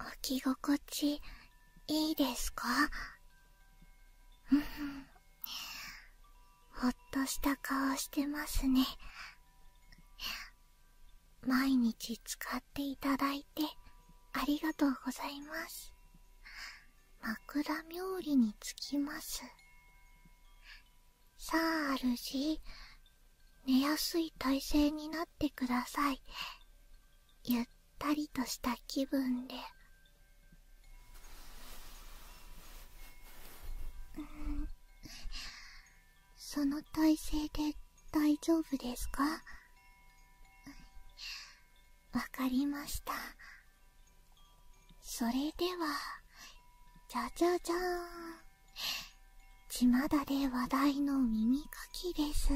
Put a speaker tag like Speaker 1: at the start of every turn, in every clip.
Speaker 1: 置き心地いいですか ほっとした顔してますね毎日使っていただいてありがとうございます枕冥利につきますさあ主寝やすい体勢になってくださいゆったりとした気分でうんその体勢で大丈夫ですかわかりましたそれではじゃじゃじゃーんちまだで話題の耳かきです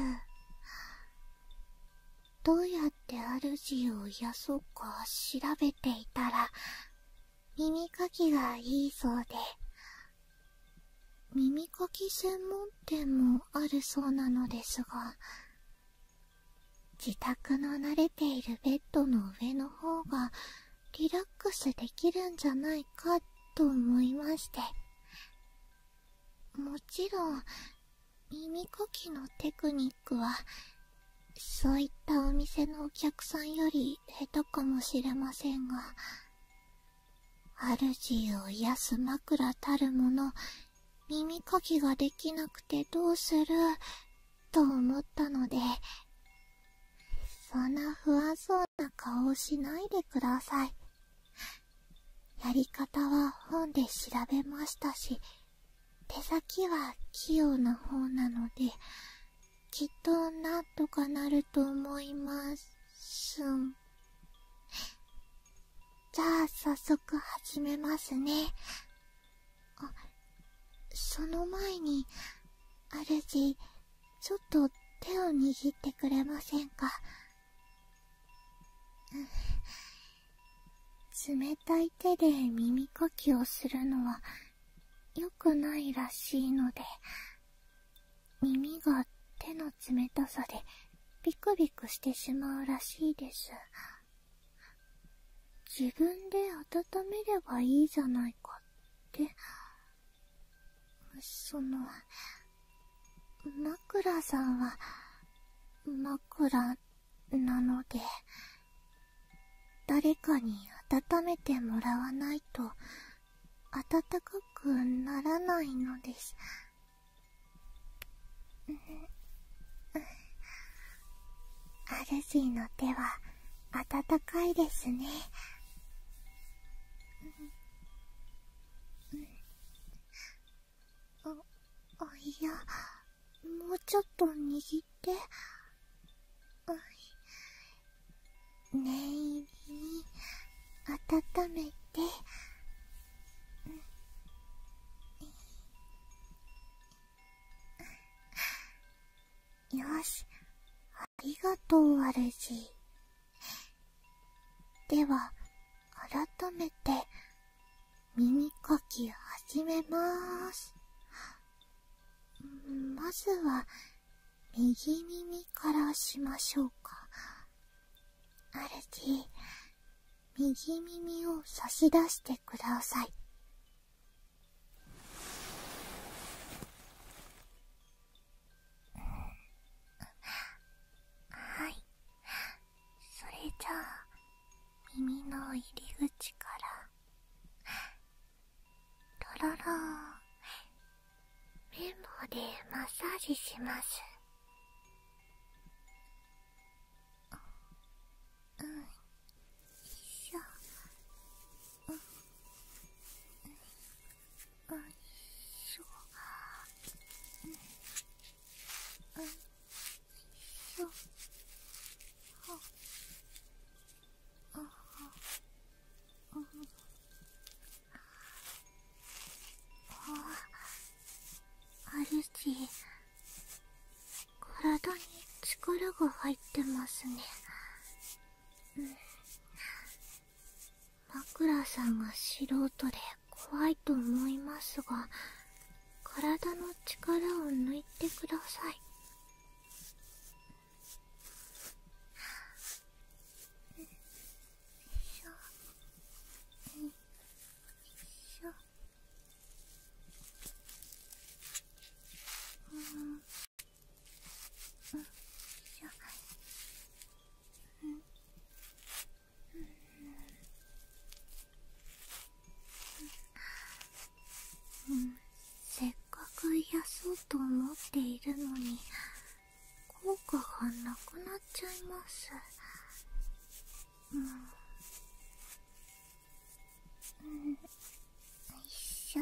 Speaker 1: どうやって主を癒そうか調べていたら耳かきがいいそうで耳かき専門店もあるそうなのですが自宅の慣れているベッドの上の方がリラックスできるんじゃないかと思いまして。もちろん耳かきのテクニックはそういったお店のお客さんより下手かもしれませんが主を癒す枕たるもの耳かきができなくてどうすると思ったのでそんな不安そうな顔をしないでくださいやり方は本で調べましたし手先は器用な方なのできっとなんとかなると思いますんじゃあ早速始めますねあその前にあるじちょっと手を握ってくれませんか冷たい手で耳かきをするのは良くないらしいので耳が手の冷たさでビクビクしてしまうらしいです自分で温めればいいじゃないかってその枕さんは枕なので誰かに温めてもらわないと温かくならないのですう主の手は温かいですねん、ああいやもうちょっと握って念入りに温めて、ん、よしありがとう、アルジでは、改めて、耳かき始めます。まずは、右耳からしましょうか。アルテ右耳を差し出してください。はいそれじゃあ耳の入り口からとろろ、綿棒でマッサージしますうんよいしょうんよあんしょあいしょはあはああるじ体に力が入ってますねうん枕さんが素人で怖いと思いますが体の力を抜いてくださいしょしょうんうんよいしょうん、せっかく癒そうと思っているのに効果がなくなっちゃいますんうんよいしょ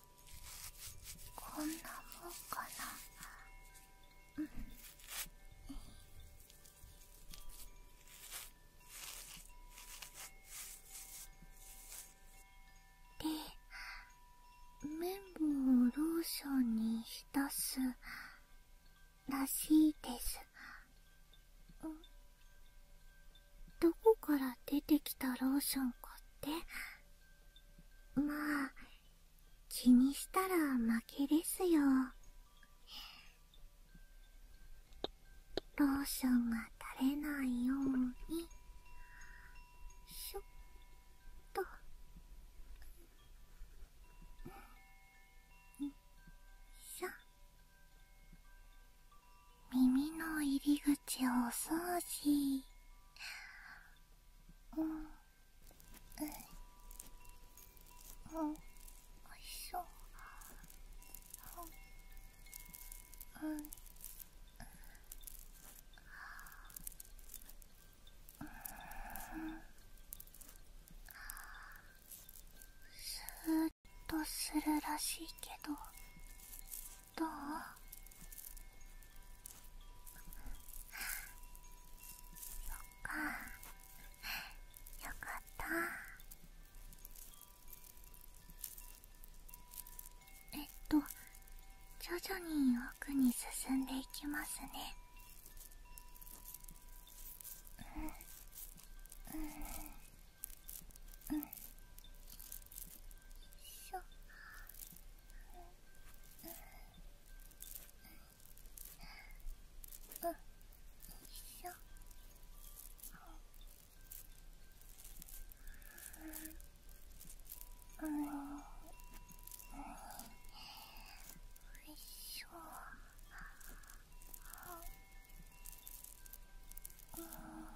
Speaker 1: こんなもんかなで綿棒をローションに浸すらしいですどこから出てきたローションかってまあ気にしたら負けですよローションが垂れないようにしょっとんしょ耳の入り口お掃除うんうんうんおいしそううんうんスーっとするらしいけどどうそっかよかったえっと徐々に奥に進んでいきますねうんうんうんしょうん、一緒うん、うん一緒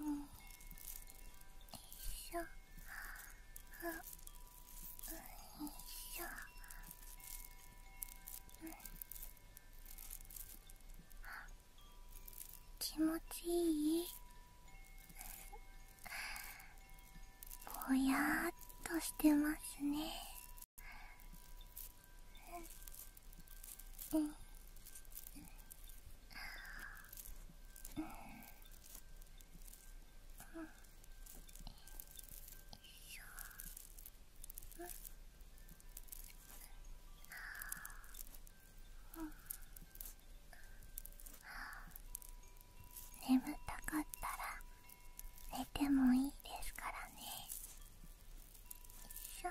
Speaker 1: うんよいしょあうんよいしょうん気持ちいいぼやっとしてますねうんうんうううううん。ん。ん。ん。ん。ああ。ああ。眠たかったら寝てもいいですからね。しょ。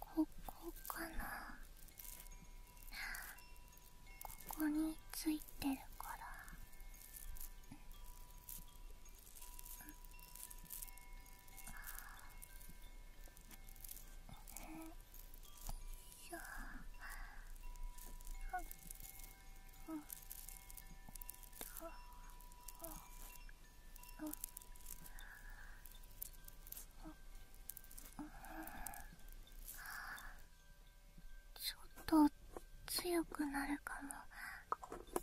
Speaker 1: ここかなここについてるからよいしょうんうんあちょっと強くなるかも。しょ。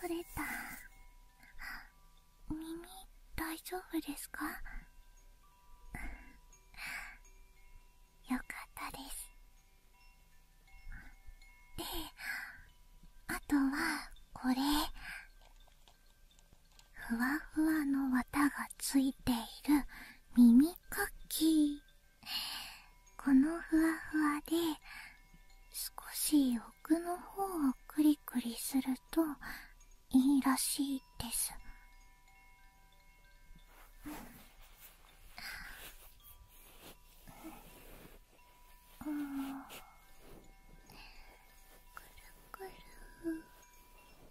Speaker 1: 取れた耳大丈夫ですかよかったですであとはこれふわふわの綿がついている耳コッこのふわふわで少し奥の方をクリクリするといいらしいですうん、くるくる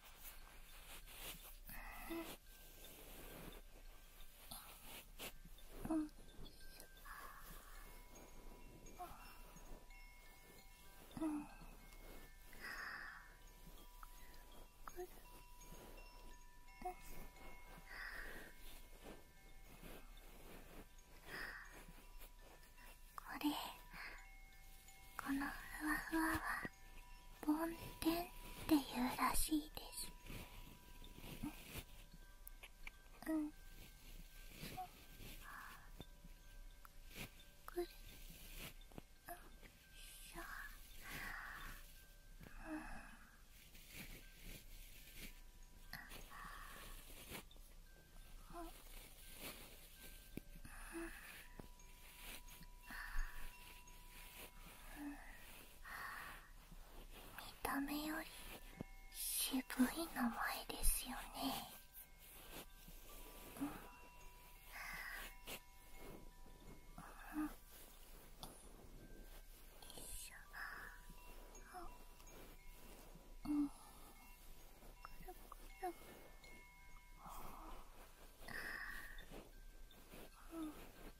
Speaker 1: これこのふわふわは梵天っていうらしいですうん、うん、くるうんしょうんうんうん見た目より渋い名前ですよね、うんうん、うん、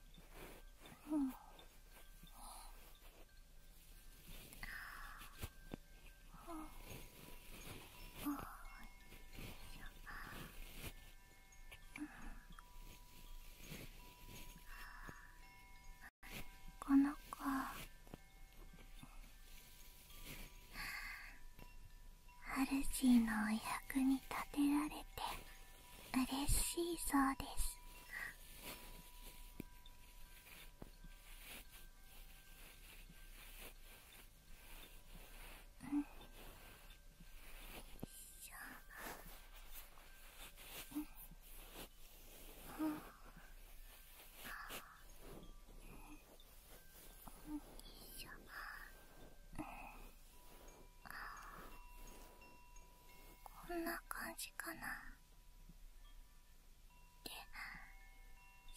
Speaker 1: うんこの子ハルシーのお役に立てられて嬉しいそうですうん、こんな感じかなで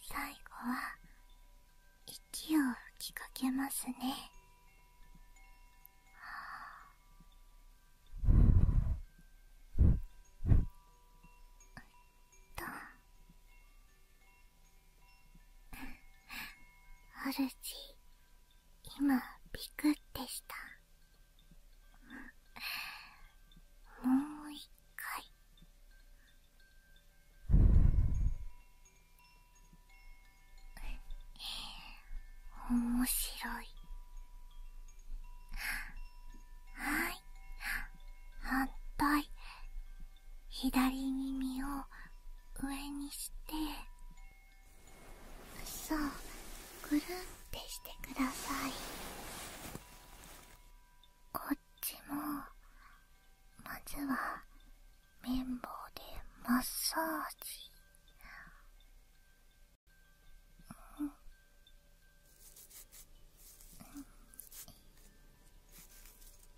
Speaker 1: 最後は息を吹きかけますねはあるじ今ピクってしたもう一回面白いはい反対左耳を上にしてそうぐるんってしてくださいこっちもまずは綿棒でマッサージうんうん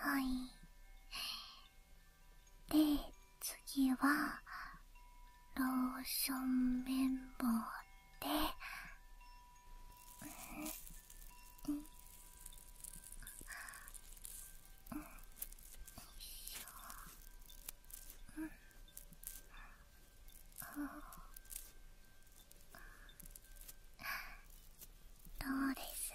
Speaker 1: はいはいで次はローション綿棒で、うんうんうん、しょどうです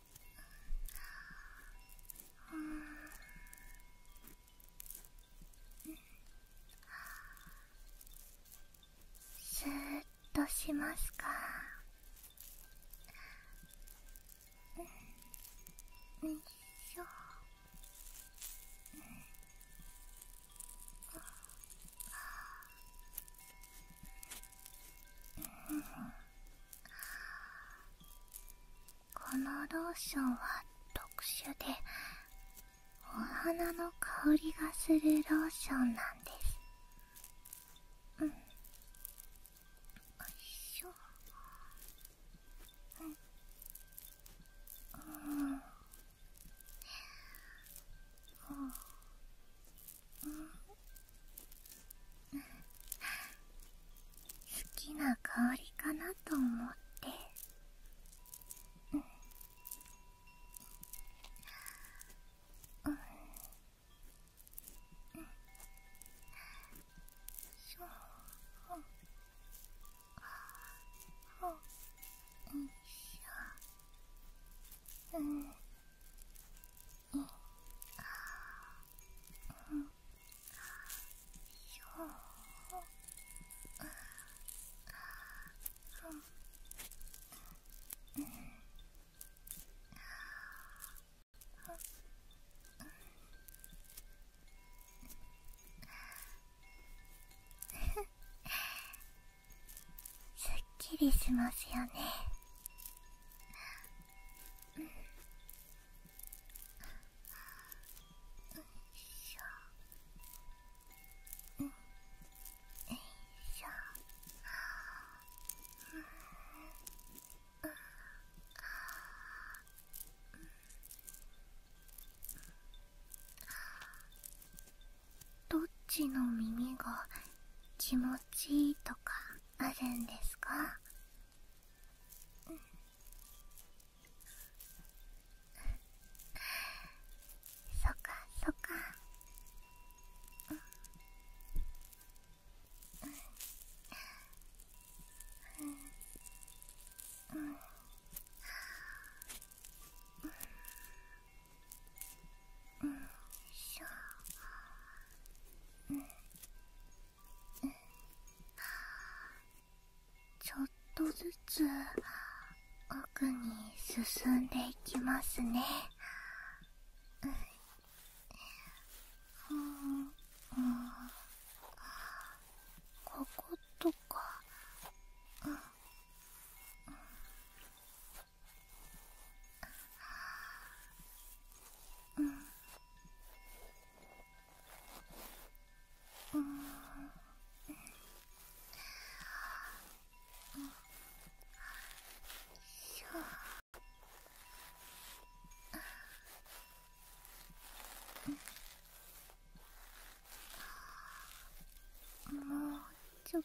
Speaker 1: スーッとしますかよいしょこのローションは特殊でお花の香りがするローションなんですうんよいしょうんうん好きな香りかなと思ってうんうんそうほほんしょうんすっきりしますよねどっちの耳が気持持ちとかあるんですか、そっかそっか、うんうんうんうん、うんしょんんちょっとずつ奥に進んでいきますねんうんこことかうんうんうんうんうんしょもうちょっと。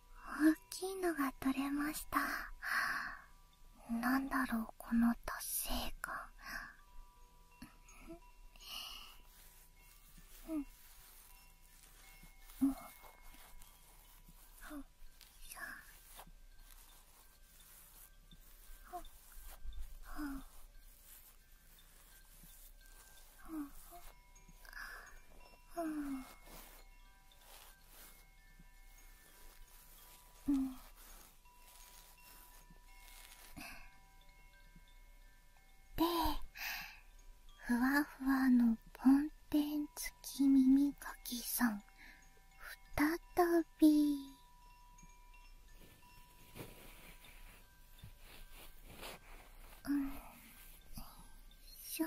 Speaker 1: 大きいのが取れましたなんだろうこの達成感うんうんほん。しん。ほっほっほっうんうんでふわふわのポンテン付き耳かきさん再びうんしょ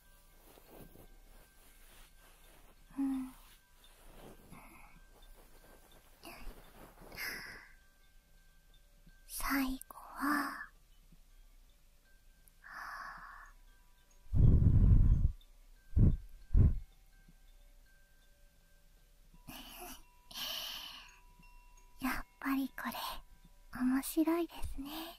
Speaker 1: うん最後はは やっぱりこれ面白いですね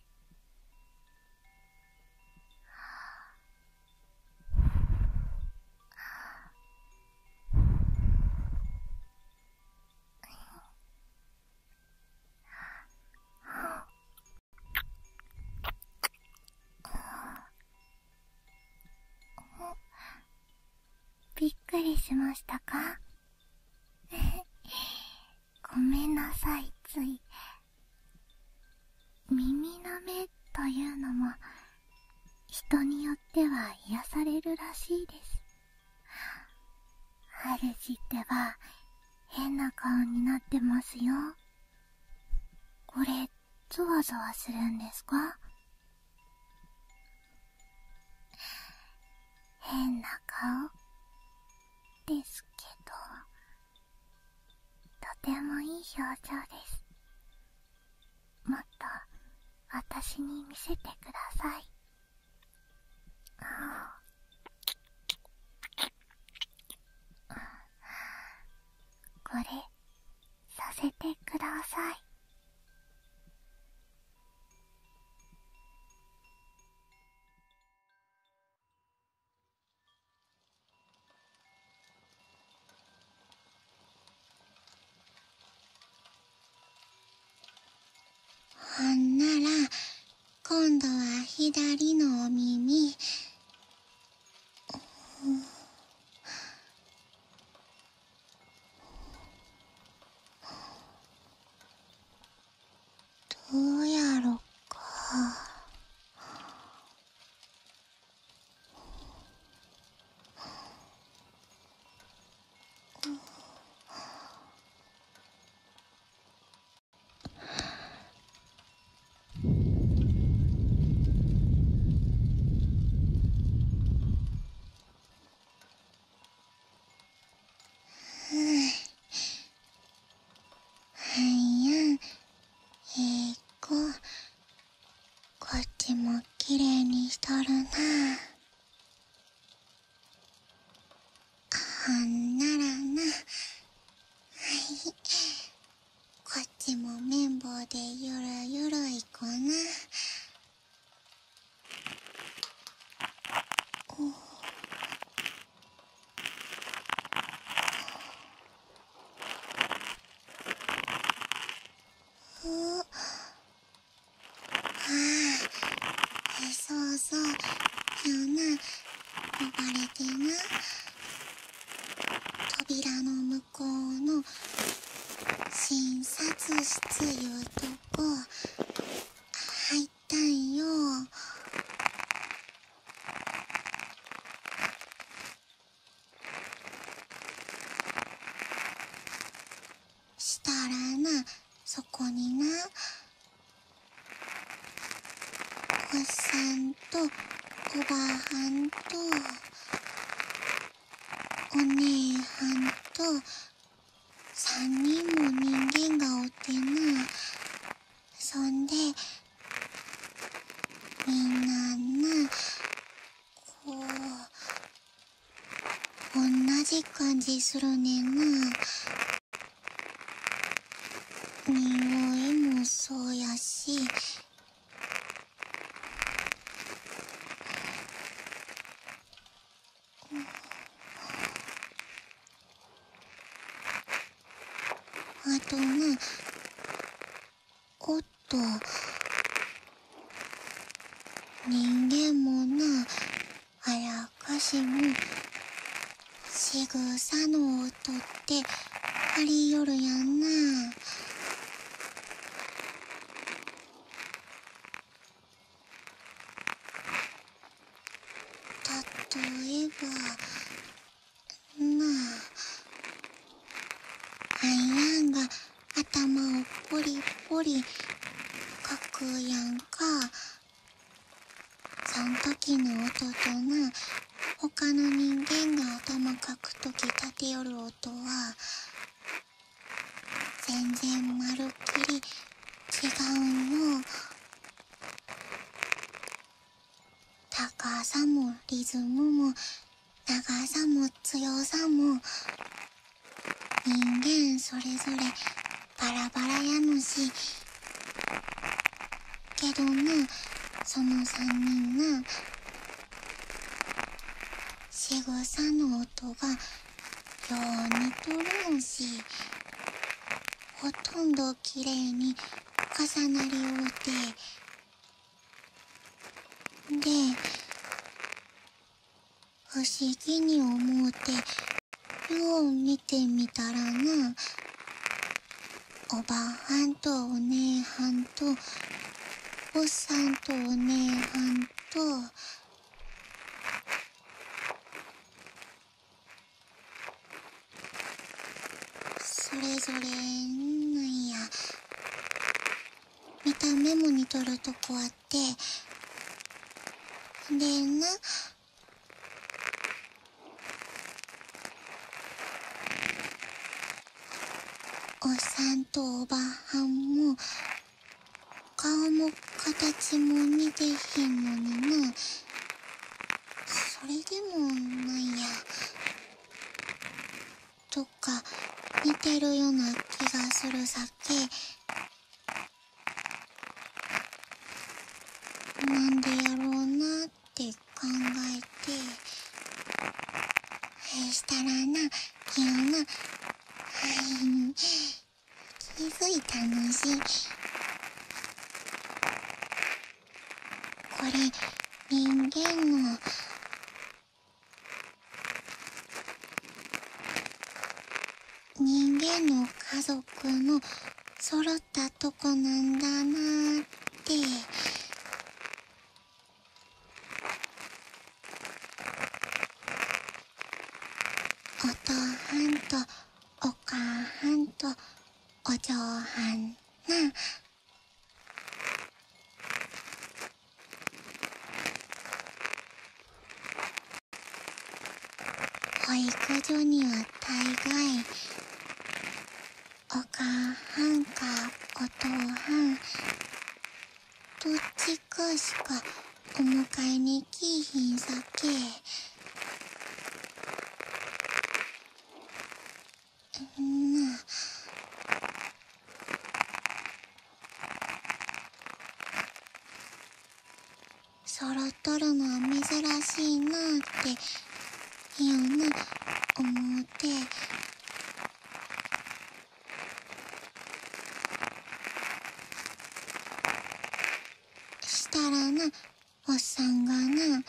Speaker 1: びっくりしましたかごめんなさいつい耳なめというのも人によっては癒されるらしいです主ってば変な顔になってますよこれゾワゾワするんですか変な顔ですけどとてもいい表情ですもっと私に見せてくださいああこれさせてくださいほんなら今度は左のお耳どうやろかはいやええ子、こっちもきれいにしとるなほんならなはいこっちも綿棒でゆるゆるいこなおふああそうそうやな呼ばれてな扉の向こうの診察室いうとこ入ったんよしたらなそこになおっさんとおばはんとお姉はんと3人も人間がおってなそんでみんななこうおんなじ感じするねなにおいもそうやしあとねおっと人間もなあやかしもしぐさの音ってありよるやんなたとえば。アイランが頭をポリポリかくやんかそん時の音とな他の人間が頭かくとき、立てよる音は全然まるっきり違うの。高さもリズムも長さも強さも人間それぞれバラバラやのしけどなその3人な仕草の音がよう似とるんしほとんどきれいに重なり合うてで不思議に思うてよう見てみたらなおばはんとお姉はんとおっさんとお姉はんとそれぞれ何や見たメモに取るとこあってでなおっさんとおばはんも顔も形も似てへんのになそれでもないやとか似てるような気がするさっけなんでやろうなって考えてそしたらな昨日な気づいたのしこれ人間の人間の家族のそろったとこなんだなってお父はんとお母はんとお上半な保育所には大概お母はんかお父はんどっちかしかお迎えに来いひんさけ。ん、な。そろっとるのは珍しいなっていやな思うてしたらなおっさんがな「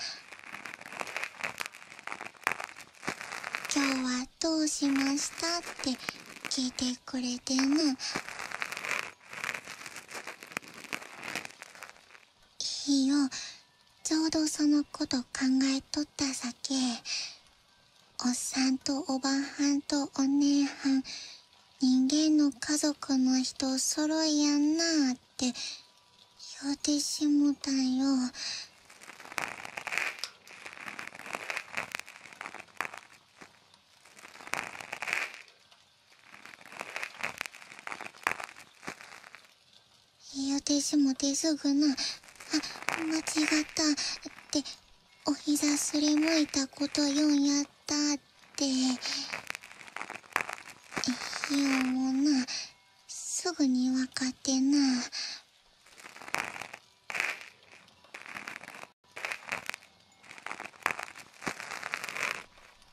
Speaker 1: 今日はどうしました?」って聞いてくれてな。いいよちょうどそのこと考えとったさけおっさんとおばはんとお姉はん人間の家族の人揃いやんなってやってしもたんよやってしもてすぐなあ間違ったってお膝すりむいたことよんやったって。ってよもなすぐに分かってな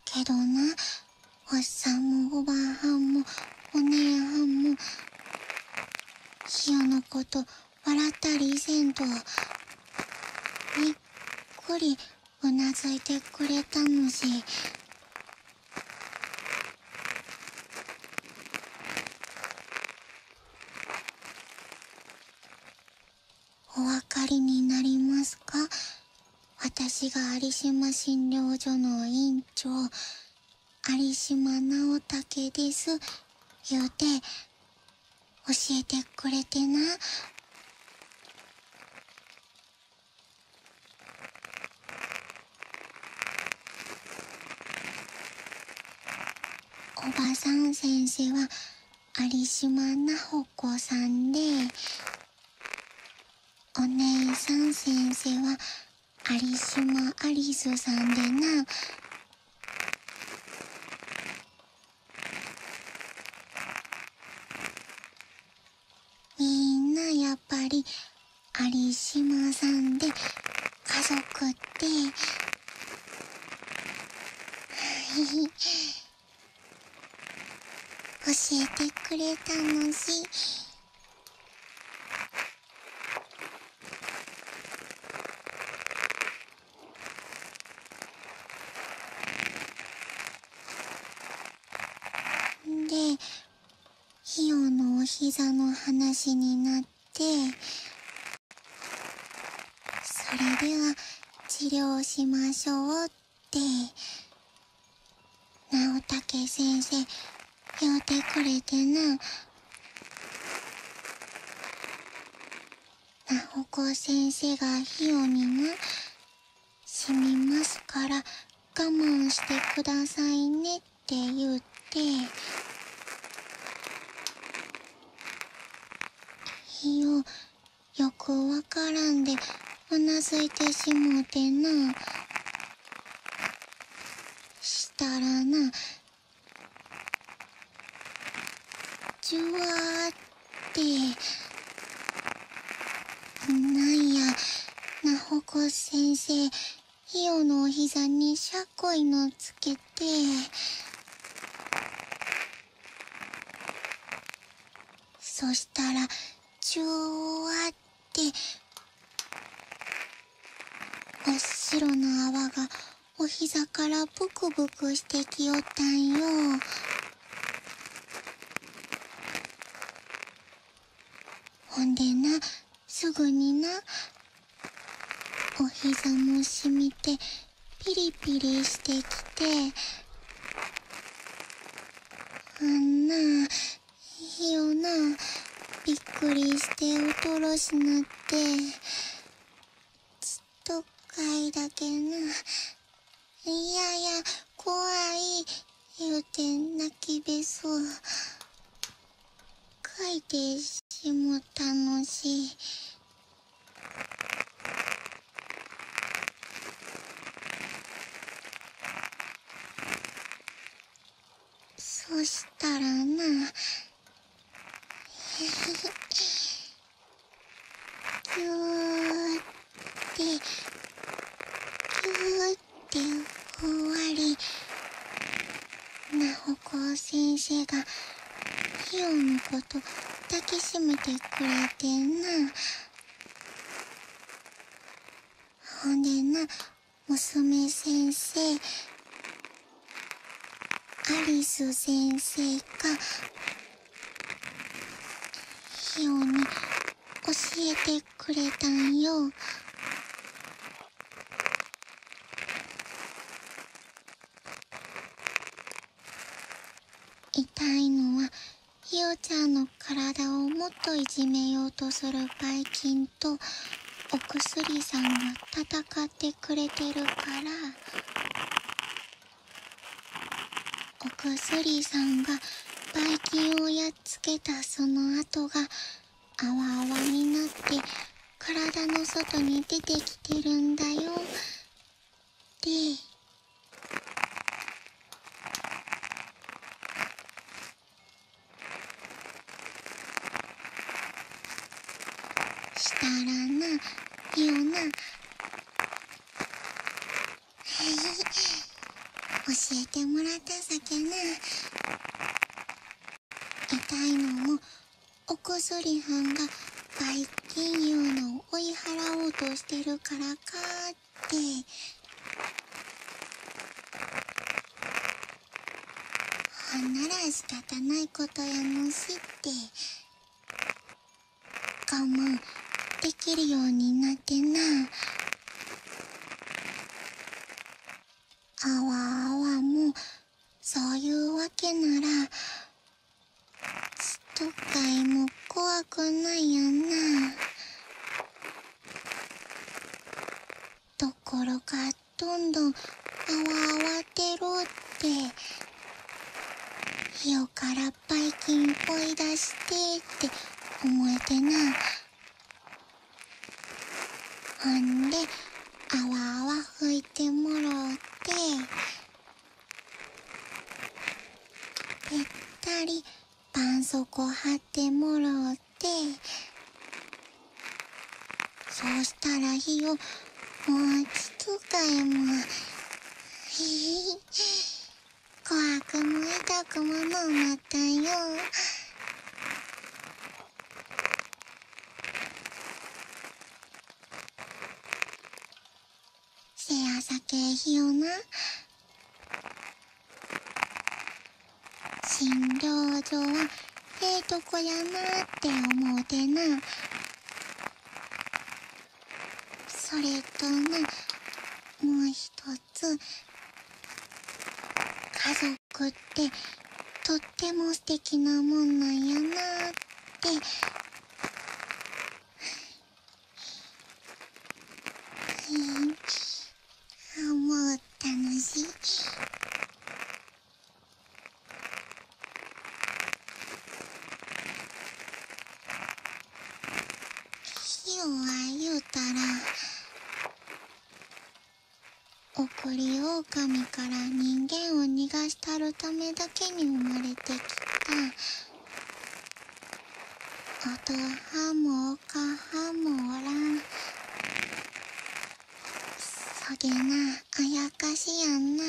Speaker 1: けどなおっさんもおばあはんもお姉はんもひよのこと笑ったりせんとびっくりうなずいてくれたのじお分かりになりますか私が有島診療所の院長有島直武です言うて教えてくれてなおばさん先生は有島な穂子さんでお姉さん先生は有島アリスさんでなみんなやっぱり有島さんで家族って 教えてくれたのしでひよのおひざの話になってそれでは治療しましょうって直武先生言うてくれてな。直子先生がひよにな死にますから我慢してくださいねって言っていよよくわからんでうなずいてしもうてなしたらなじゅわーっってなんやナホコ先生ひよのお膝にシャコイのつけてそしたらちゅわっておっしろのあわがおひざからブクブクしてきよったんよ。ほんでなすぐになお膝もしみてピリピリしてきてあんなひよなびっくりしておとろしなってずっとかいだけな。いやいや怖い言うて泣きべそう書いてしもたのしいそしたらな ぎゅーっってぎゅーってふわりなほこう先生がひよのこと抱きしめてくれてなほんでな娘先生アリス先生がひよに教えてくれたんよ。痛いのはひよちゃんの体をもっといじめようとするばい菌とお薬さんが戦ってくれてるから。お薬さんがばい菌をやっつけたその跡があわあわになって体の外に出てきてるんだよでしたらなよな教えてもらった酒な痛いのもおこりはんが売金いうのを追い払おうとしてるからかってほんなら仕方ないことやのしって我慢できるようになってなあわあわもそういうわけならストッカイも怖くないやなところがどんどんあわあわてろって。ひよからば。っぱい金ぽい出してって思えてなほんであわあわ拭いてもろうてぺったりばんそこはってもろうてそうしたら火をもうちつかえもへへ。怖くも痛くものうまったよせやさけえひよな診療所はええとこやなって思うてなそれとねもう一つ家族ってとってもすてきなもんなんやなってうんもう楽しい。ひよは言うたら送り狼から人間を逃がしたるためだけに生まれてきたあとはもおかはもおらんそげなあやかしやんな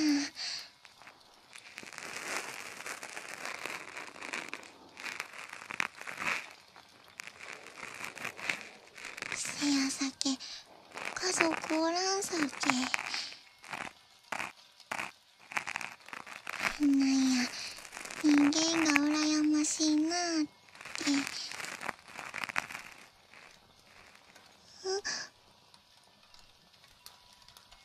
Speaker 1: せやさけ家族おらんさけなんや人間がうらやましいなーってうん。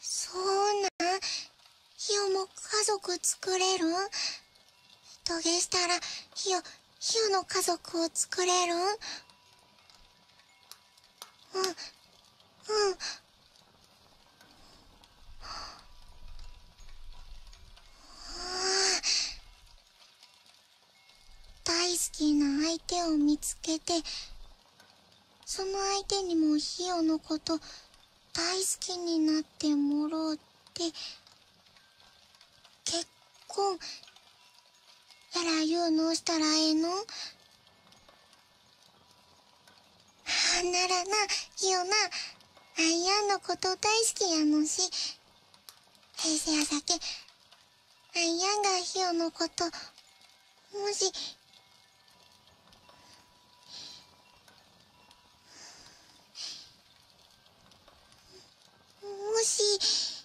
Speaker 1: そうなひよも家族作れるん土下したらひよひよの家族を作れるんうんうん大好きな相手を見つけてその相手にもひよのこと大好きになってもろうって結婚やら言うのしたらええのあならなひよなあいやんのこと大好きやのし平成やさけあいやがひよのこともしもし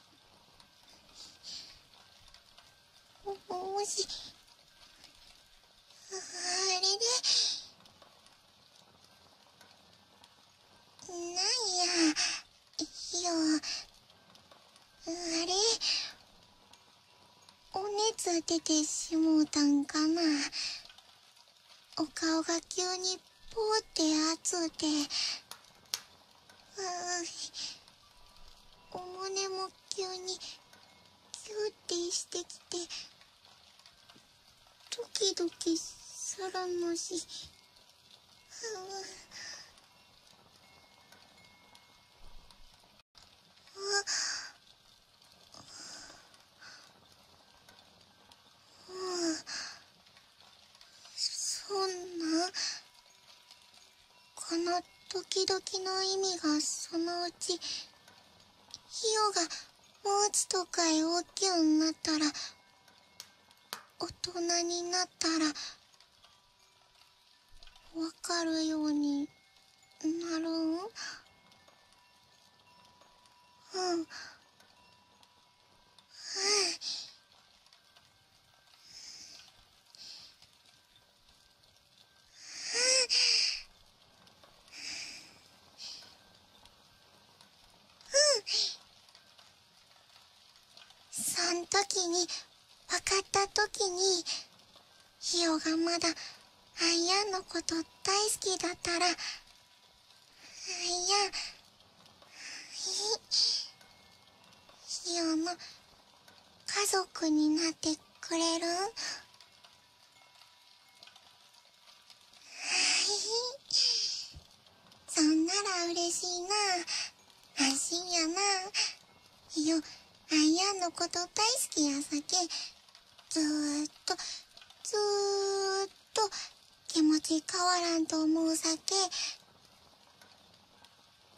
Speaker 1: もしあれでなんや。あれお熱出てしもうたんかなお顔が急にぽーってあつうてうお胸も急にキューってしてきてドキドキするのし。うう。そんな。この時々の意味がそのうちひよがもうちょっとかへ大きゅうになったら大人になったらわかるようになるううんうんうんうんそんときにわかったときにひよがまだアイアンのことだいすきだったらアイアンひよの家族になってくれるは そんならうれしいな。安心やな。よ、あんやんのこと大好きやさけ。ずっと、ずーっと、気持ち変わらんと思うさけ。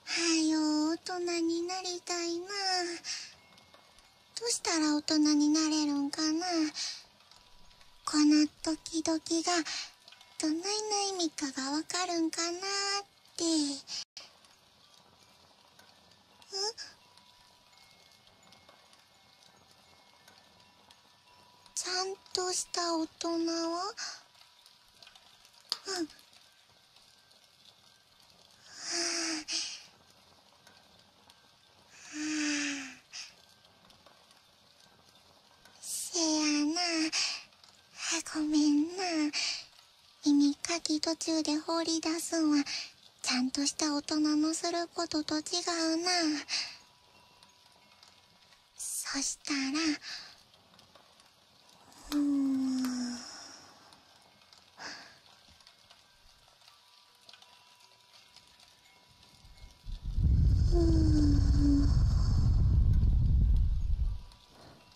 Speaker 1: はよ、大人になりたいな。どうしたら大人になれるんかな。この時々が、どないな意味かがわかるんかなーっっんちゃんとした大人はうんはあはあせやなごめんな耳かき途中で放り出すんはちゃんとした大人のすることと違うなそしたらううん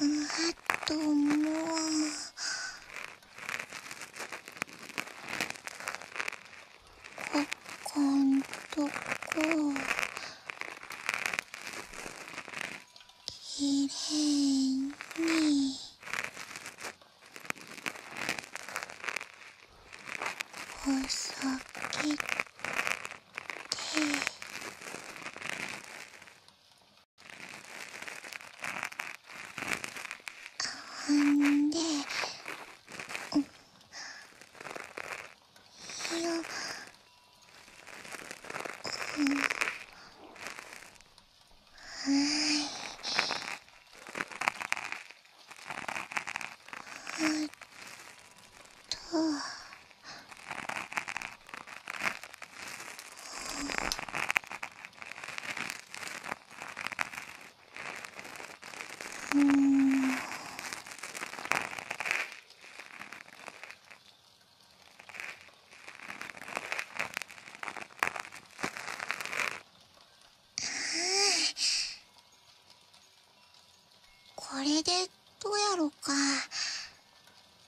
Speaker 1: うんあともうここんとこきれいにほさけて。ほんで、うん、よ、うん、はいえっと。うんこれでどうやろか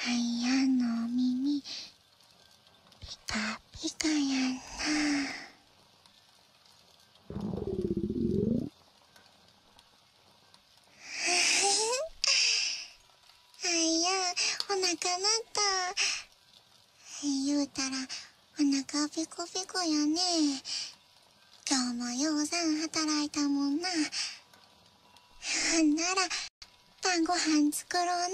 Speaker 1: はやんのお耳ピカピカやんなはやおなかなった言うたらおなかペコペコやね今日もようさん働いたもんななら晩ご飯作ろうな